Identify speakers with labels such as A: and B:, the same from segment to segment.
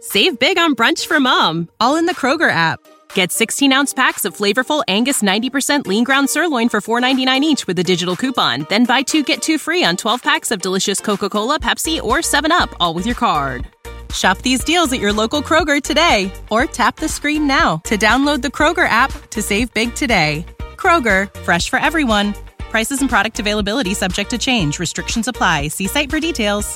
A: Save big on brunch for mom, all in the Kroger app. Get 16 ounce packs of flavorful Angus 90% lean ground sirloin for $4.99 each with a digital coupon. Then buy two get two free on 12 packs of delicious Coca Cola, Pepsi, or 7UP, all with your card. Shop these deals at your local Kroger today or tap the screen now to download the Kroger app to save big today. Kroger, fresh for everyone. Prices and product availability subject to change. Restrictions apply. See site for details.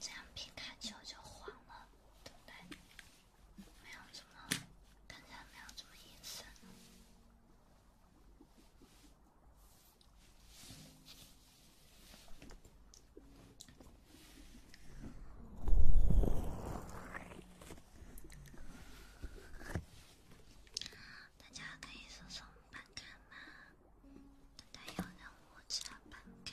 A: 这样皮卡丘就黄了，对不对？没有这么看起来没有这么颜色。大家可以搜索“板卡”吗？等待有人我加板卡。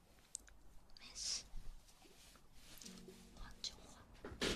A: 没事，晃就晃。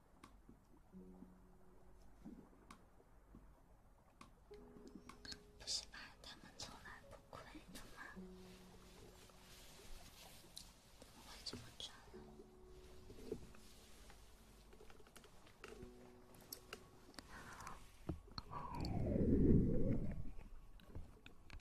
B: 不是吧？他们从来不亏的吗？怎么会这么赚呢？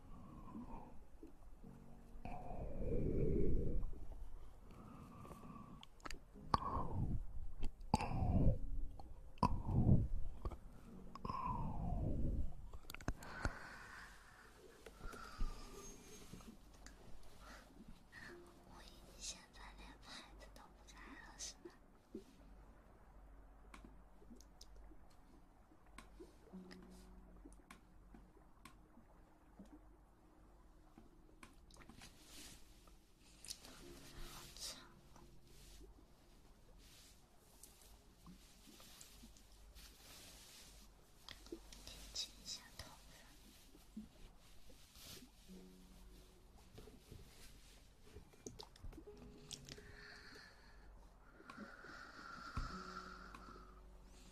B: 我以，现在连牌子都不在了，是吗？好脏！剪一下头发。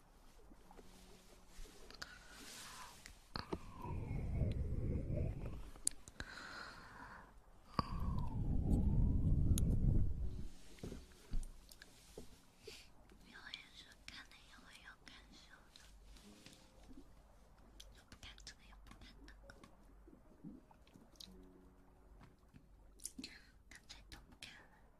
B: 表演者看了也会有感受的，不看怎么也不看那个，干脆都不看了。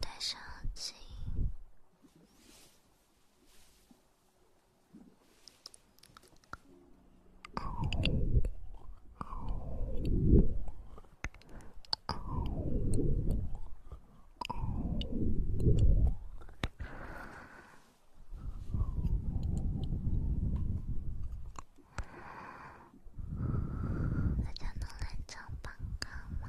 B: 戴上耳机。大家能来唱帮歌吗？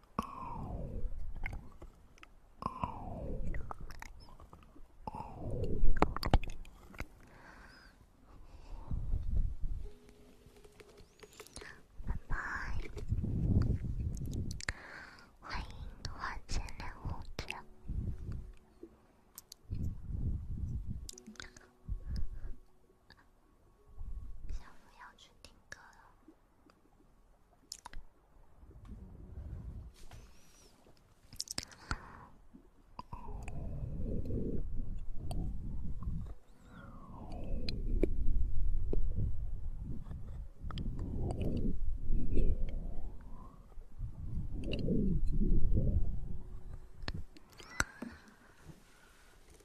B: 拜拜，欢迎花间舞者。小鹿要去听歌了。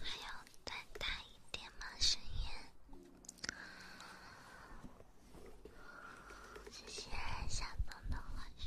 B: 还要再大一点吗，声音？谢谢小风的挥手。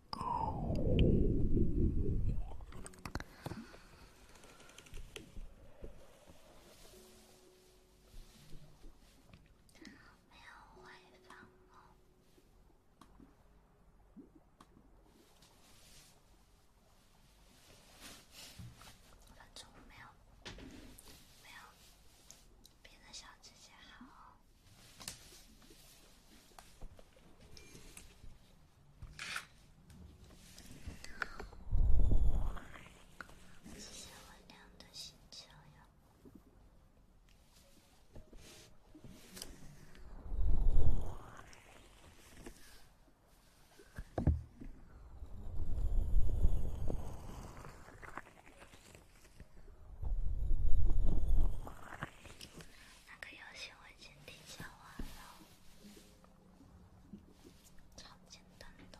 B: 没有回访哦，五分钟没有，没有。别的小姐姐好，谢谢我亮的星球哟。那个游戏我已经提交完了，超简单的。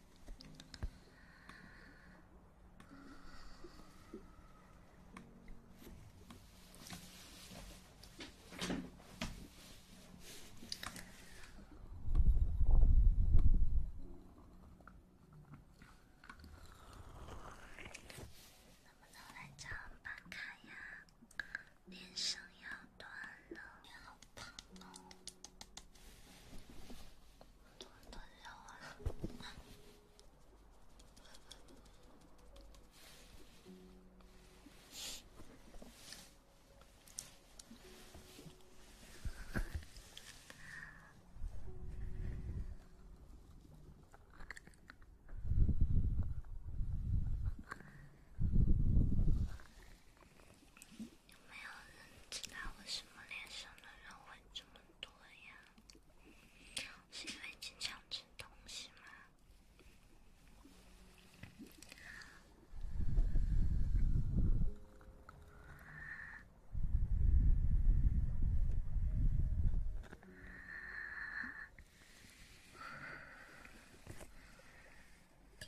B: 能不能来找办卡呀？连声要断了，要胖了。多难受啊！有没有人知道我什么脸上的人会这么多呀？是因为经常吃东西吗？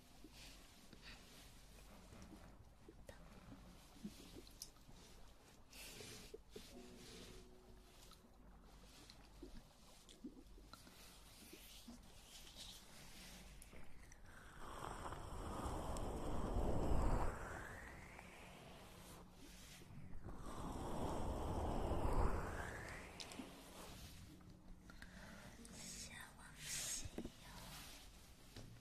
B: 下往西游。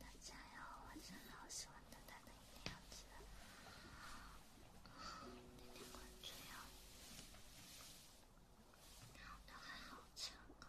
B: 大家好，我真的好喜欢大家的样子，点点关注哟，都还好成功。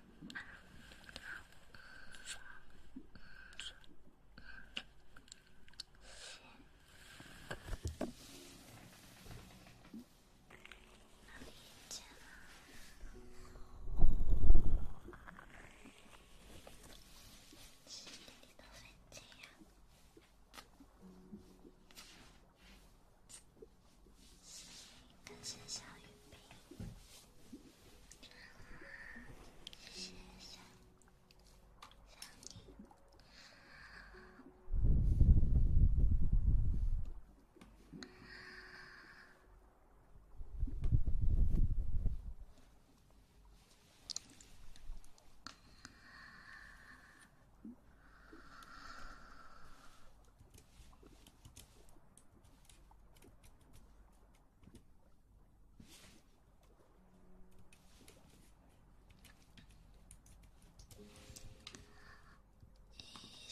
B: 谢谢小鱼冰。谢谢，想你。一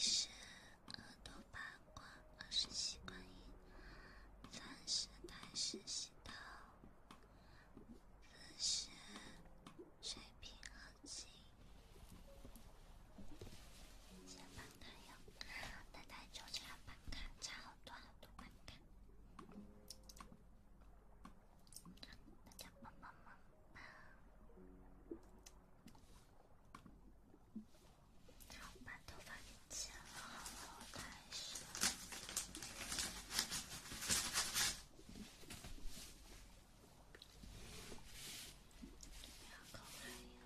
B: 是耳朵八卦，二是七观音，三是太师喜刀，四是水平横琴，先把。还有，奶奶就差板卡，差好多好多板卡。大家忙忙忙忙，把头发给剪了，好了，太帅了！不要搞太阳。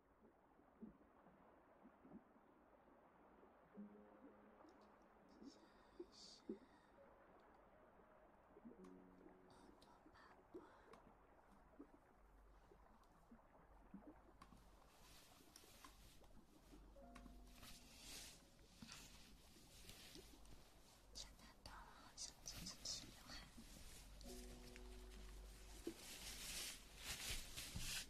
B: 下一些我的爸爸，现在短了，想剪成齐刘海。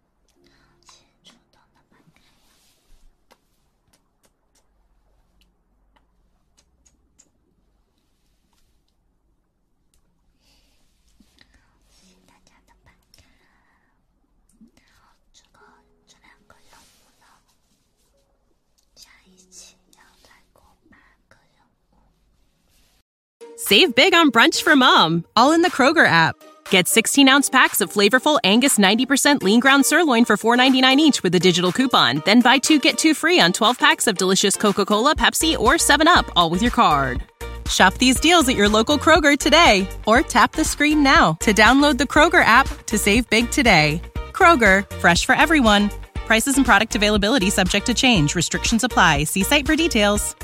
A: Save big on brunch for mom, all in the Kroger app. Get 16 ounce packs of flavorful Angus 90% lean ground sirloin for $4.99 each with a digital coupon. Then buy two get two free on 12 packs of delicious Coca Cola, Pepsi, or 7UP, all with your card. Shop these deals at your local Kroger today or tap the screen now to download the Kroger app to save big today. Kroger, fresh for everyone. Prices and product availability subject to change. Restrictions apply. See site for details.